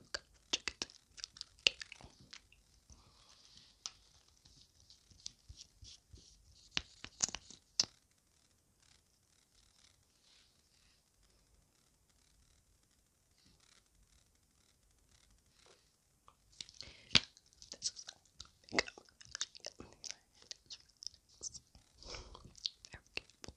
Look, check it. Okay. This is makeup. It's very beautiful.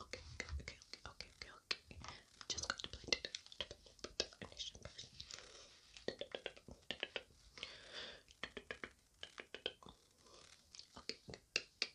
Okay, okay, okay, okay, okay, okay. just going to blend it okay,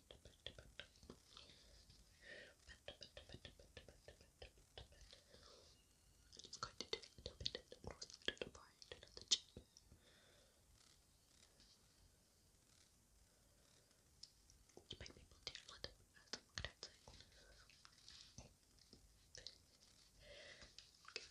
It's going to do a little bit of the cloth to the part of the chin. You might be able to hear a little bit of that Okay.